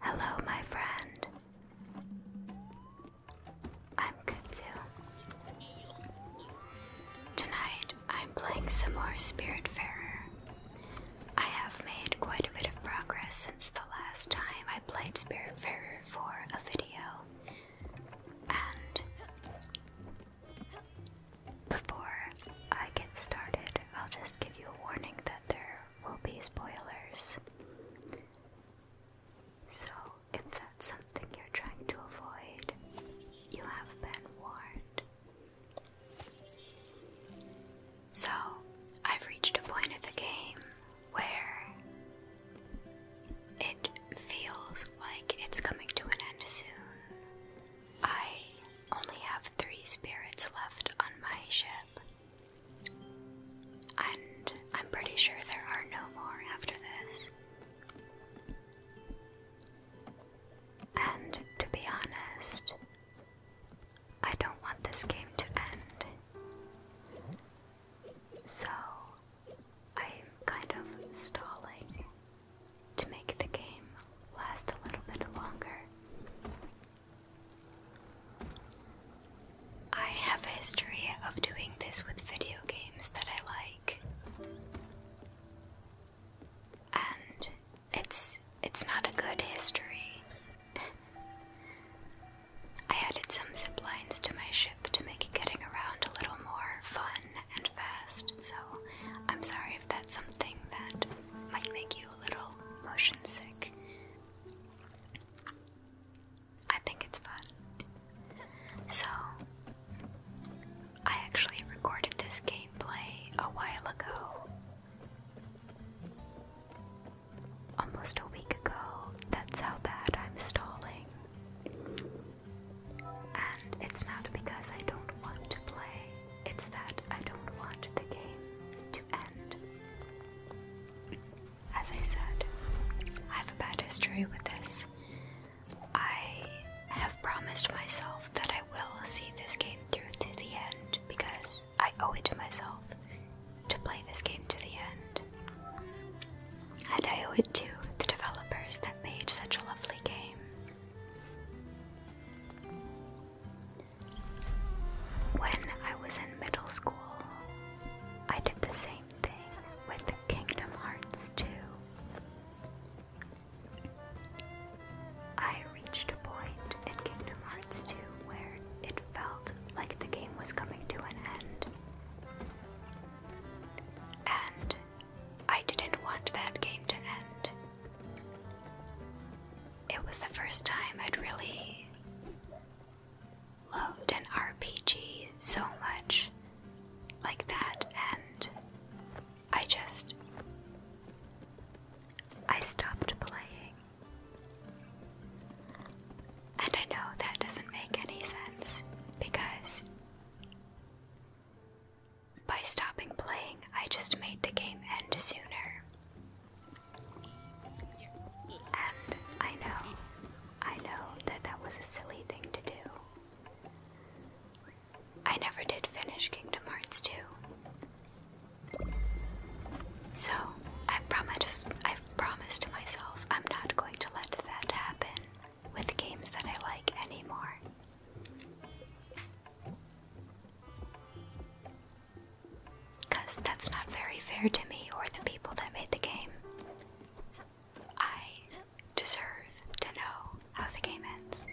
Hello, my friend. I'm good Tonight I'm playing some more Spiritfarer. I have made quite a bit of progress since the last time I played Spiritfarer for a video, and before I get started, I'll just give you a warning that there will be spoilers. So, if that's something you're trying to avoid, you have been warned. So, I've reached a point of the game where it feels like it's coming to an end soon. I only have three spirits left on my ship, and I'm pretty sure there are no more after this. And to be honest, I don't want this game to end. So I'm kind of stalling to make the game last a little bit longer. I have a history of doing this with video games that I like. And it's it's not a good history. I added some zip lines to my ship to make getting around a little more fun and fast, so I'm sorry if that's something that might make you a little motion sick. I think it's fun. So, I actually recorded this gameplay a while ago. Almost a week ago. That's how bad I'm stalling. And it's not because I don't want to play, it's that I don't want the game to end. As I said, I have a bad history with this. I have promised myself that I will see this game through to the end because I owe it to myself to play this game to the end. And I owe it to the developers that made such a lovely game. When I was in middle school, I did the same thing with Kingdom Hearts 2. I reached a point in Kingdom Hearts 2 where it felt like the game was coming to an end. And I didn't want that game to end. It was the first time I'd really loved an RPG so much like that, and I just. I stopped playing. And I know that doesn't make any sense because by stopping playing, I just made the game end sooner. And I know, I know that that was a silly thing to do. I never did finish Kingdom Hearts 2. So, I've promised, i promised myself I'm not going to let that happen with games that I like anymore. Because that's not very fair to me or the people that made the game. I deserve to know how the game ends.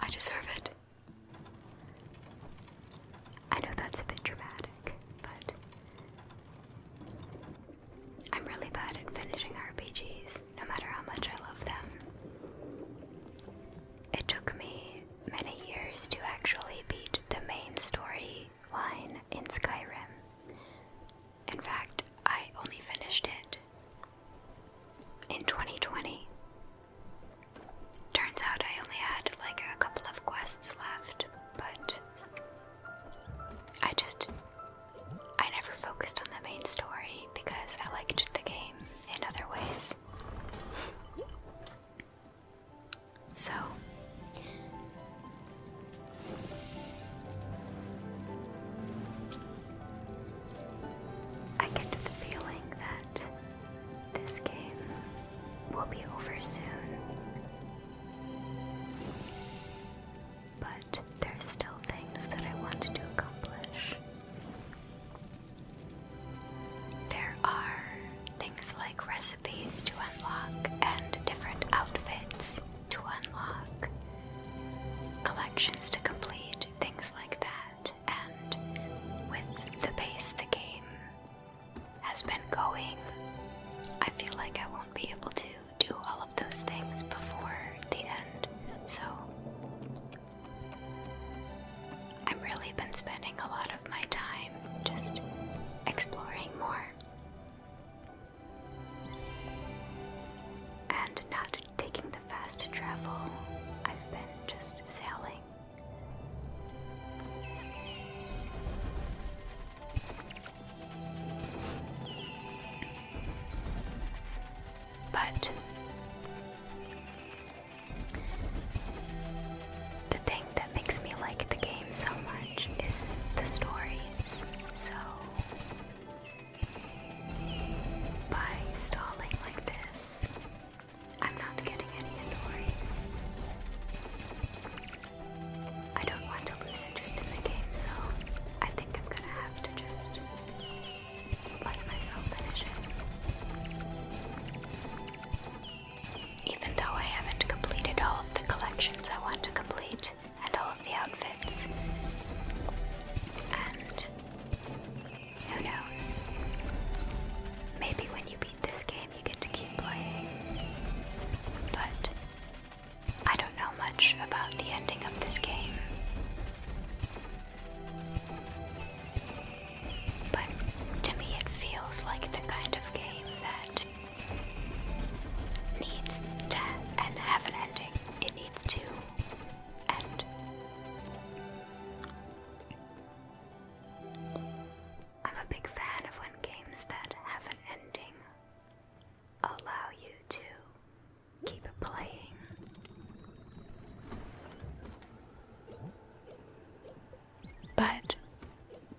I deserve it. I know that's a bit dramatic, but I'm really bad at finishing RPGs, no matter how much I love them. It took me many years to actually beat the main storyline in Skyrim. In fact, I only finished it in 2020. Turns out I only had like a couple of quests left, but I just I never focused on the main story because I liked the game in other ways. So I get the feeling that this game will be over soon but there's still things that I want to accomplish. There are things like recipes to unlock and different outfits to unlock, collections to complete, things like that. And with the pace the game has been going, I feel like I won't be able to do all of those things before the end, so I've really been spending a lot of my time just exploring more and not taking the fast travel. I've been just sailing. But the thing that makes me like the game so much is the stories. So by stalling like this, I'm not getting any stories. I don't want to lose interest in the game, so I think I'm gonna have to just let myself finish it. Even though I haven't completed all of the collections I want to complete, and all of the outfits, and who knows? Maybe when you beat this game, you get to keep playing. But I don't know much about the ending of this game. But to me, it feels like the kind of game that needs to and have an ending. It needs to end. I'm a big fan of when games that have an ending allow you to keep it playing. But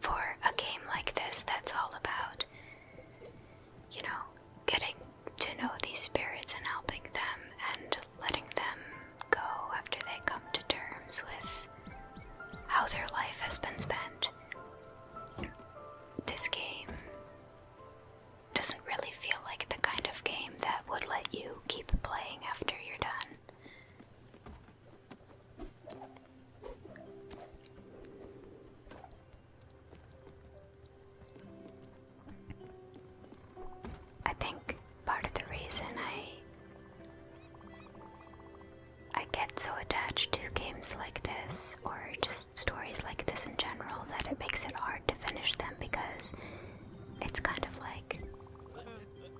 for a game like this, that's all about, you know, getting to know these spirits and helping them and letting them go after they come to terms with how their life has been spent. This game doesn't really feel like the kind of game that would let you keep playing after you're done. I think part of the reason I I get so attached to games like this or just stories like this in general that it makes it hard to finish them because it's kind of like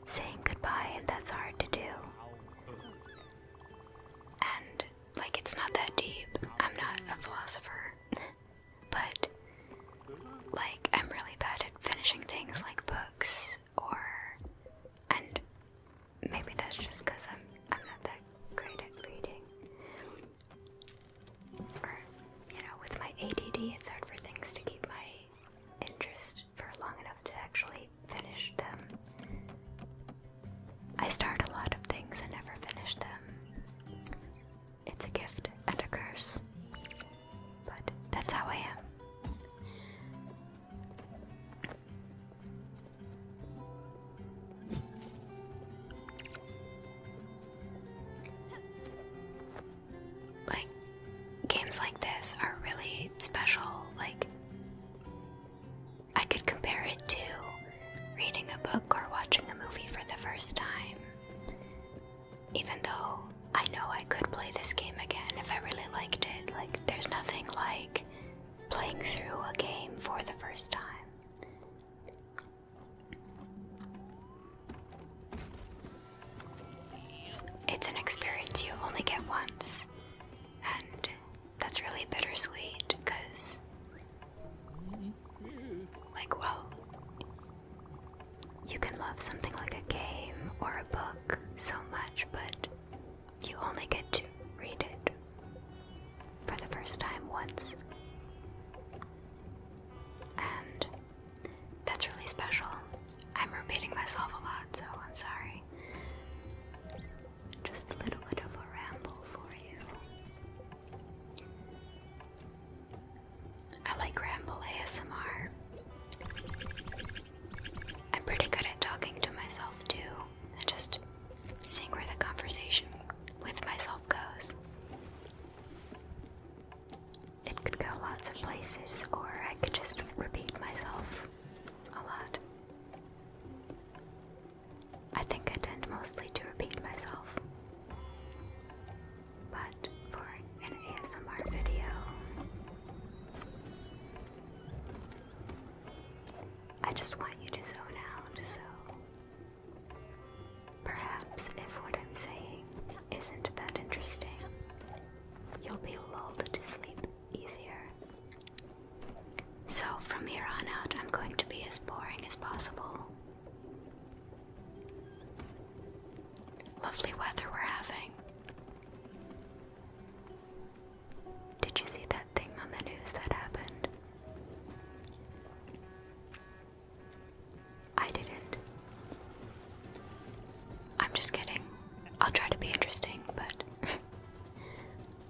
saying goodbye, and that's hard to do. And like, it's not that deep. I'm not a philosopher, but like, I'm really bad at finishing things like books or. And maybe that's just because I'm I'm not that great at reading. Or you know, with my ADD, it's hard for things to keep my interest for long enough to actually finish them. I start a lot of things and never finish them. It's a gift and a curse, but that's how I am. Like, games like this are really special. Like, I could compare it to reading a book or watching a movie for the first time. Even though I know I could play this game again if I really liked it, like, there's nothing like playing through a game for the first time. It's an experience you only get once, and that's really bittersweet because, like, well, you can love something like a game or a book so much, but you only get to read it for the first time once. And that's really special. I'm repeating myself a lot, so I'm sorry. Just a little bit of a ramble for you. I like ramble ASMR. I'm pretty good at talking to myself too and just seeing where the conversation with myself goes. It could go lots of places, or I could just repeat myself a lot. I think I tend mostly to repeat myself. But for an ASMR video, I just want you to zone out, so perhaps if what I'm saying isn't that interesting, you'll be lulled to sleep easier. So from here on out, I'm going to be as boring as possible. Lovely weather we're having. Did you see that thing on the news that happened? I didn't. I'm just kidding. I'll try to be interesting, but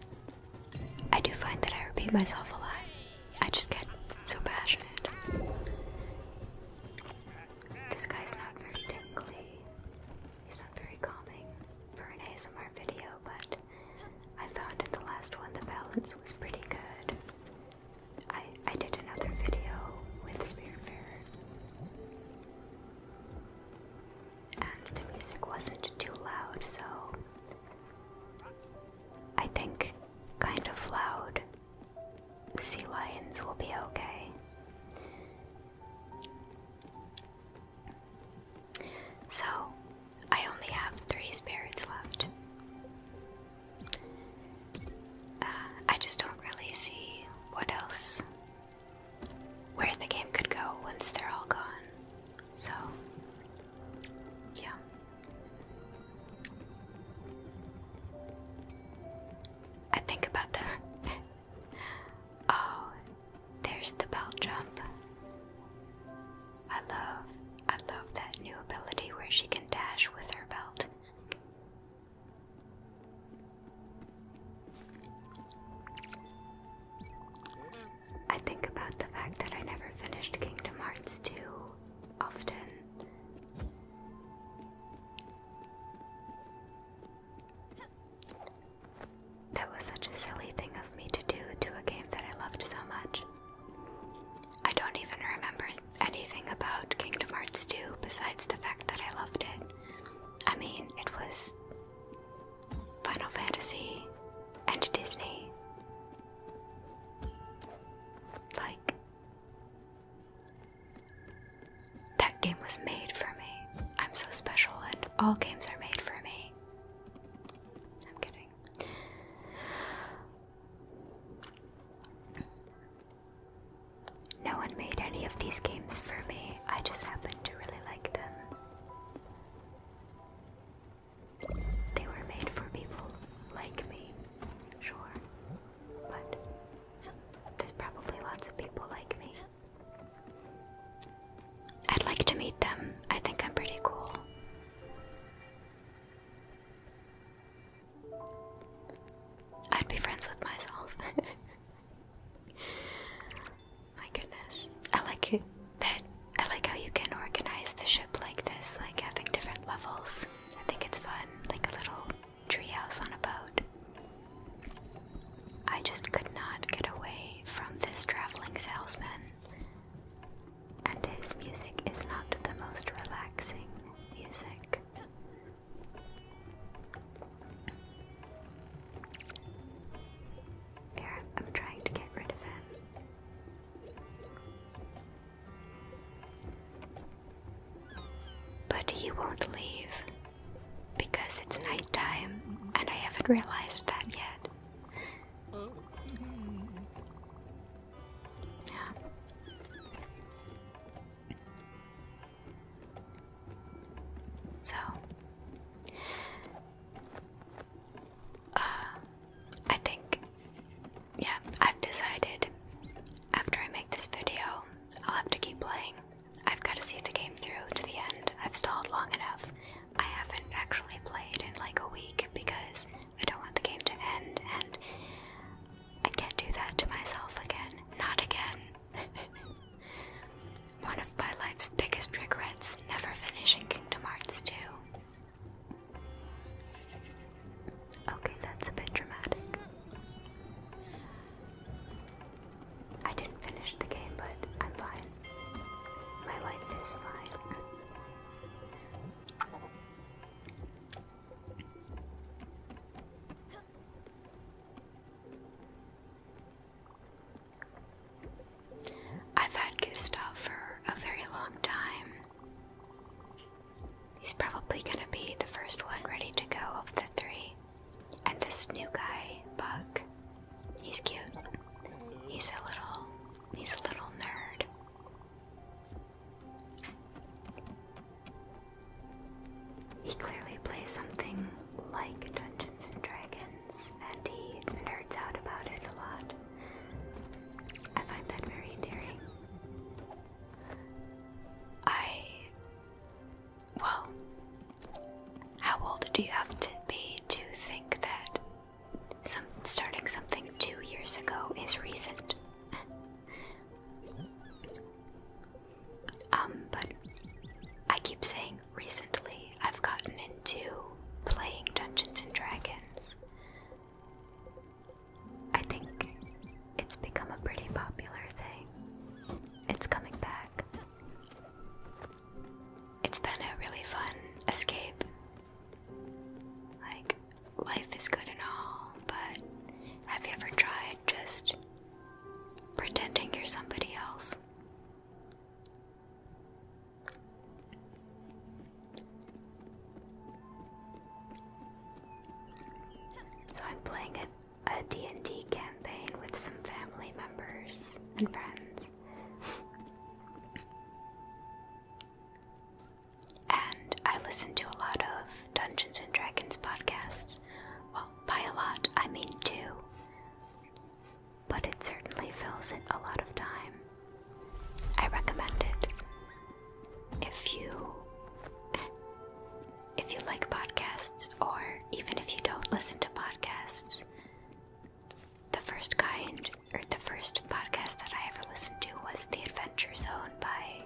I do find that I repeat myself a lot. I just get so passionate. This guy's not very tingly. He's not very calming for an ASMR video, but I found in the last one the balance was pretty good. I I did another video with Spiritfarer. And the music wasn't too loud, so I think kind of loud sea lions will be okay. So, I only have three spirits left. Uh, I just don't really see what else, where the game could go once they're all gone. So, yeah. I think about the. oh, there's the belt jump. I love, I love that new ability where she can dash with her belt. I think about the fact that I never finished Kingdom Hearts 2 often. That was such a silly thing of me to do to a game that I loved so much. I don't even remember anything about Kingdom Hearts 2 besides the fact that I loved it. I mean, it was Final Fantasy and Disney. Like, that game was made for me. I'm so special, and all games are made for me. I'm kidding. No one made any of these games for me. I just happen to really like them. They were made for people like me, sure. But there's probably lots of people like me. I'd like to meet them. I think I'm pretty cool. I'd be friends with myself. My goodness. I like it that I like how you can organize the ship like this, like having different levels. I think it's fun, like a little treehouse on a boat. I just could not get away from this traveling salesman and his music is not the most relaxing music. Here, I'm trying to get rid of him. But he won't leave because it's nighttime and I haven't realized that yet. So, uh, I think, yeah, I've decided after I make this video, I'll have to keep playing. I've got to see the game through to the end. I've stalled long enough. I haven't actually played in like a week because I don't want the game to end and I can't do that to myself again. Not again. One of my life's biggest regrets, never finishing Kingdom Hearts 2. Okay, that's a bit dramatic. I didn't finish the game, but I'm fine. My life is fine. I've had Gustav for a very long time. He's probably gonna be the first one ready to go of the three. And this new guy, Buck, he's cute. He's a little He's a little nerd. He clearly plays something like Dungeons and Dragons, and he nerds out about it a lot. I find that very endearing. I. Well, how old do you have to be to think that some, starting something two years ago is recent. Um, but I keep saying recently I've gotten into playing Dungeons and Dragons. I think it's become a pretty popular thing. It's coming back it's been a really fun escape. Like, life is good and all, but have you ever tried just pretending you're somebody else? So I'm playing a, and d campaign with some family members and friends. And I listen to a lot of Dungeons and Dragons podcasts. Well, by a lot, I mean two. But it certainly fills in a lot of time. I recommend it. If you if you like podcasts or even if you don't listen to podcasts, the first kind, or the first podcast that I ever listened to was The Adventure Zone by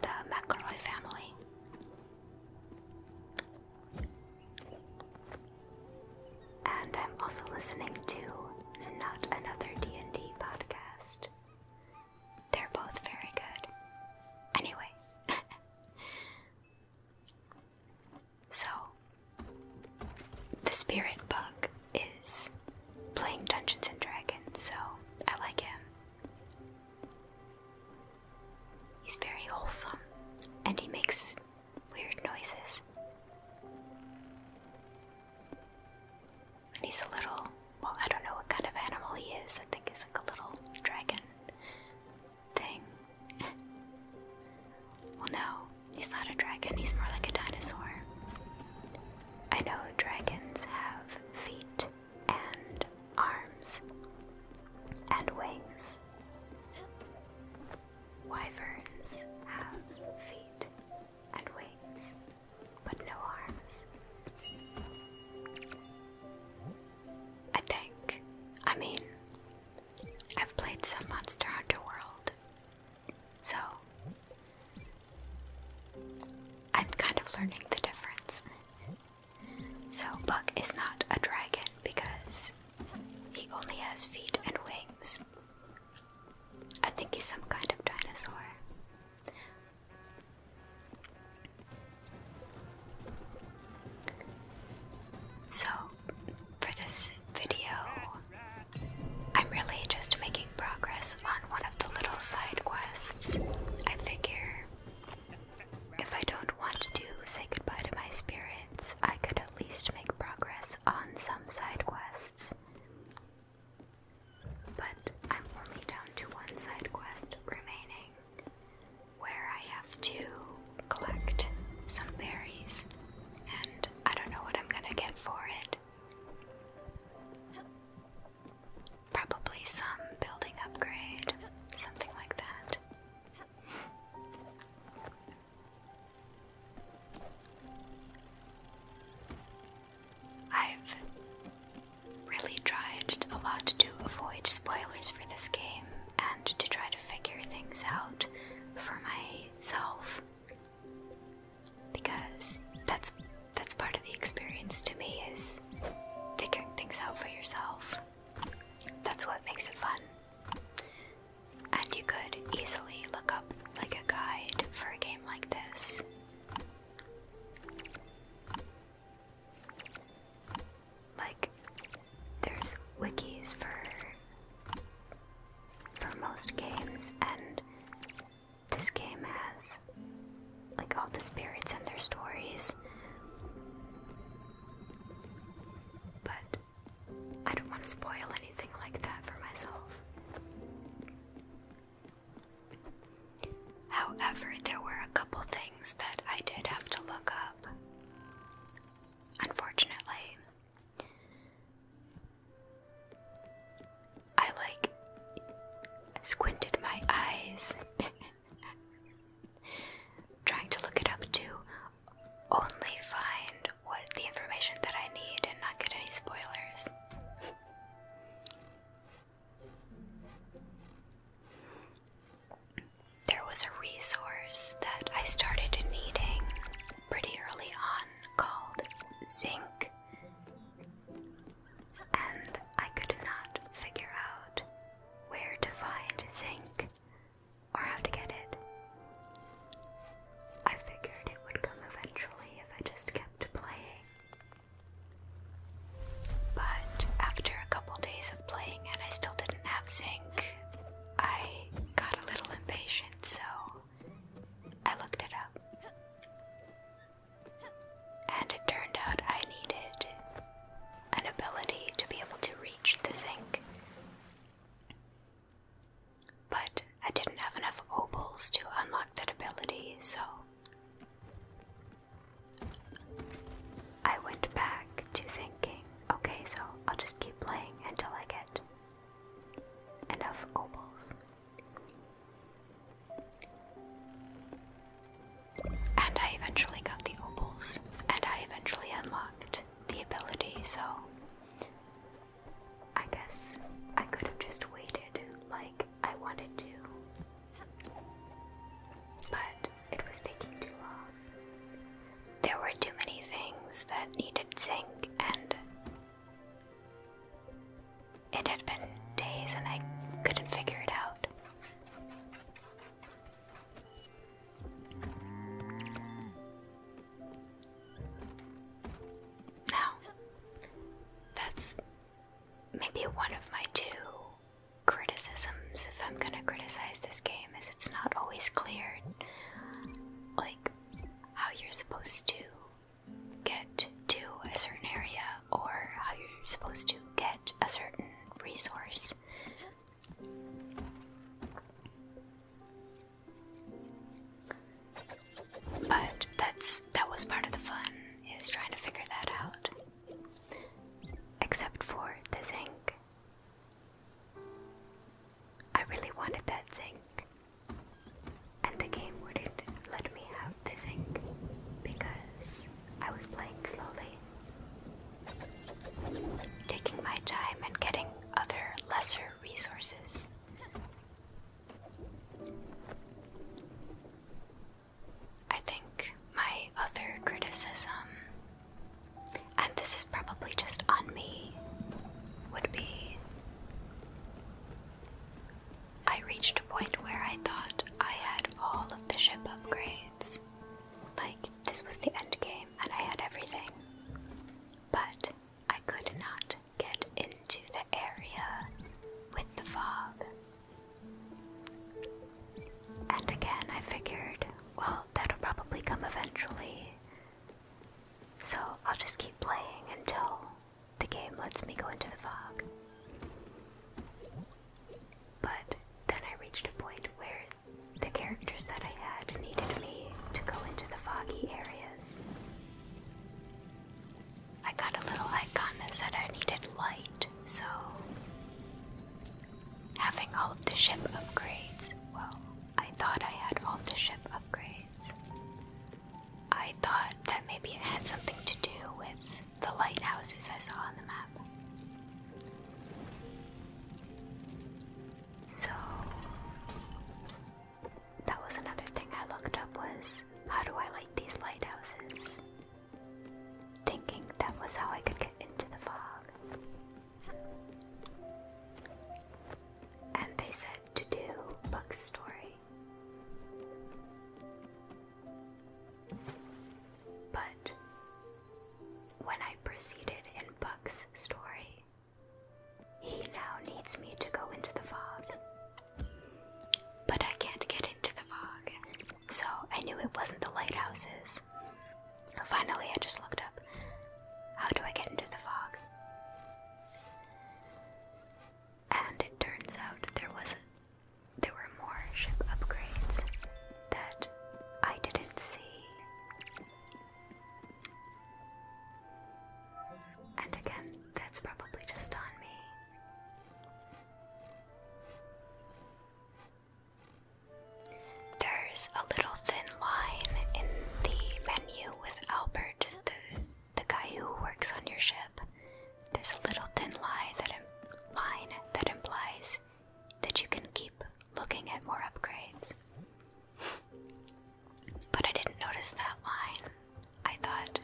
the McElroy family. And I'm also listening to Not Another D&D podcast. They're both very good. Anyway. So, the spirit bug is playing Dungeons and Dragons, so I like him. He's very wholesome and he makes weird noises. And he's a little, well, I don't know what kind of animal he is. I think he's like a little dragon thing well, no, he's not a dragon, he's more like a dinosaur. I know dragons have feet and arms and wings. Wyverns have feet and wings, but no arms. I think. I mean, I've played some Monster Hunter World, so, I'm kind of learning the difference. So, Buck is not a dragon because he only has feet and wings. I think he's some kind of dinosaur. So, for this video, I'm really just making progress on one of the little side quests. I figure if I don't want to say goodbye to my spirits, I could at least make progress on some side quests. But I'm only down to one side quest remaining, where I have to collect some berries, and I don't know what I'm gonna get for it. Probably some building upgrade, something like that. I've really tried a lot to avoid spoilers for this game and to try to figure things out for myself because that's that's part of the experience to me is figuring things out for yourself. That's what makes it fun. And you could easily look up like a guide for a game like this. Like there's wikis for for most games, and this game has like all the spirits and their stories. But I don't want to spoil anything like that for myself. However, there were a couple things that I did have to look up. Unfortunately, I like squinted my eyes trying to look it up to only find what the information that I need and not get any spoilers. There was a resource that I started needing pretty early on called Zinc, and I could not figure out where to find zinc or how to get it. I figured it would come eventually if I just kept playing. But after a couple days of playing and I still didn't have zinc, I got a little impatient so I looked it up. And it turned out I needed an ability to be able to reach the zinc. But I didn't have enough opals to unlock that ability, so I went back to thinking okay, so I'll just keep playing until I get and of opals. And I eventually got the opals, and I eventually unlocked the ability, so I guess I could have just waited like I wanted to. But it was taking too long. There were too many things that needed sync, and it had been days and I couldn't figure it out. Now, that's maybe one of my two criticisms if I'm gonna criticize this game, is it's not always clear. Like, how you're supposed to get to a certain area or how you're supposed to get a certain resource. But that's that was part of the fun is trying to figure that out. Except for the zinc. I really wanted that zinc, and the game wouldn't let me have the zinc because I was playing slowly, taking my time and getting other lesser resources. I think my other criticism and this is probably just on me, would be I reached a point where I thought I had all of the ship upgrades. Like, this was the end game and I had everything. But I could not get into the area with the fog. And again, I figured, well, that'll probably come eventually. So I'll just keep playing until the game lets me go into the fog. But then I reached a point where the characters that I had needed me to go into the foggy areas. I got a little icon that said I needed light, so having all of the ship upgrades, well, I thought I had all the ship upgrades. I thought that maybe it had something to do with the lighthouses I saw on the map. So that was another thing I looked up was how do I light these lighthouses? Thinking that was how I could get into the fog. And they said to do book story. But when I proceeded in book story, he now needs me to go into the fog. But I can't get into the fog, so I knew it wasn't the lighthouses. Finally, I just looked up. How do I get into the fog? And it turns out there was there were more ship upgrades that I didn't see. And again, that's probably just on me. There's a little thin line in the menu with Albert, the, the guy who works on your ship. There's a little thin line that, implies that you can keep looking at more upgrades. but I didn't notice that line. I thought,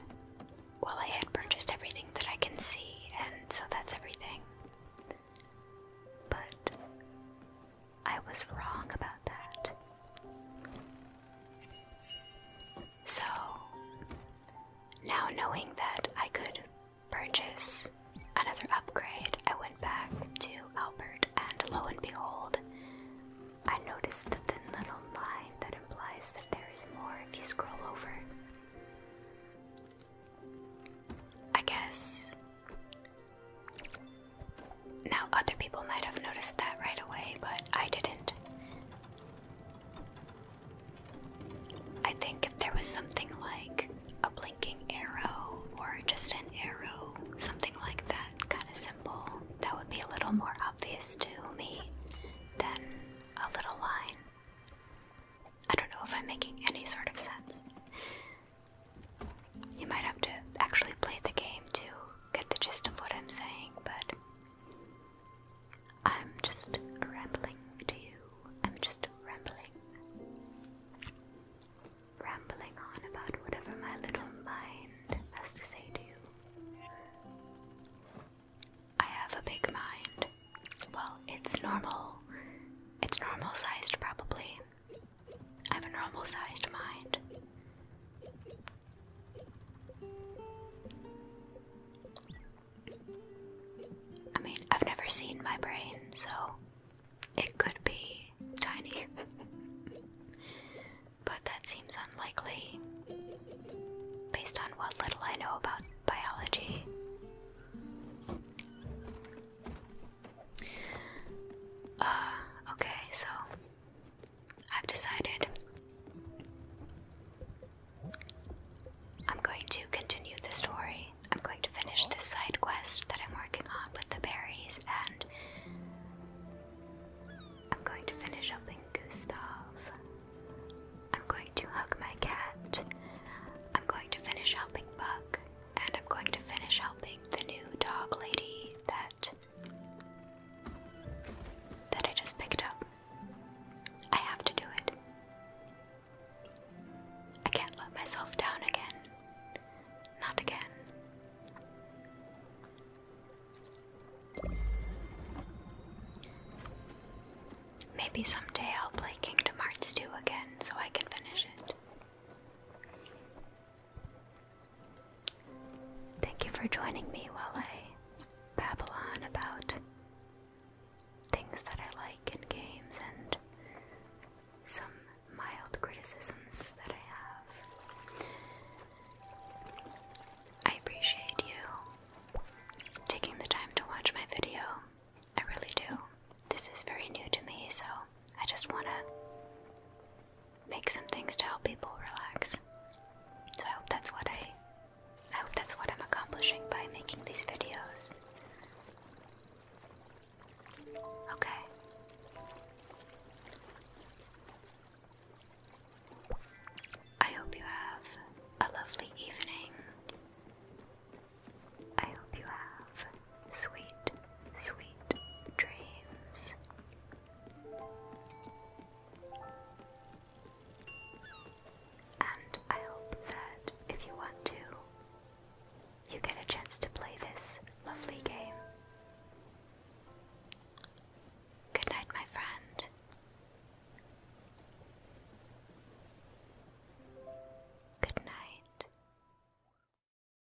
well, I had purchased everything that I can see, and so that's everything. But I was wrong about that. So, now knowing that I could purchase another upgrade, I went back to Albert, and lo and behold, I noticed the thin little line that implies that there is more if you scroll over. I guess now, other people might have noticed that right away, but I didn't. I think if there was something like a blinking arrow or just an arrow, something like that kind of simple, that would be a little more obvious to me than a little line. I don't know if I'm making any sort of sense. You might have to actually play the game to get the gist of what I'm saying, but I'm just rambling to you. I'm just rambling. Rambling on about whatever my little mind has to say to you. I have a big mind. Well, it's normal. It's normal sized, probably. I have a normal sized mind. I mean, I've never seen my brain, so it could be tiny. but that seems unlikely based on what little I know about biology. Uh, okay, so I've decided I'm going to continue the story. I'm going to finish the side quest that I'm working on with the berries, and I'm going to finish helping Gustav. I'm going to hug my cat. I'm going to finish helping Buck and I'm going to finish helping the new dog lady that that I just picked up. I have to do it. I can't let myself down again. Not again. Maybe someday I'll play Kingdom Hearts 2 again so I can finish it. Thank you for joining me while I babble on about things that I like in games and some mild criticisms that I have. I appreciate you taking the time to watch my video. I really do. This is very new to me, so I just want to make some things to help people relax. So I hope that's what I I hope that's what I'm accomplishing by making these videos. Okay. I hope you have a lovely evening. I hope you have sweet, sweet dreams. And I hope that if you want to, you get a chance to play this lovely game. Good night, my friend. Good night.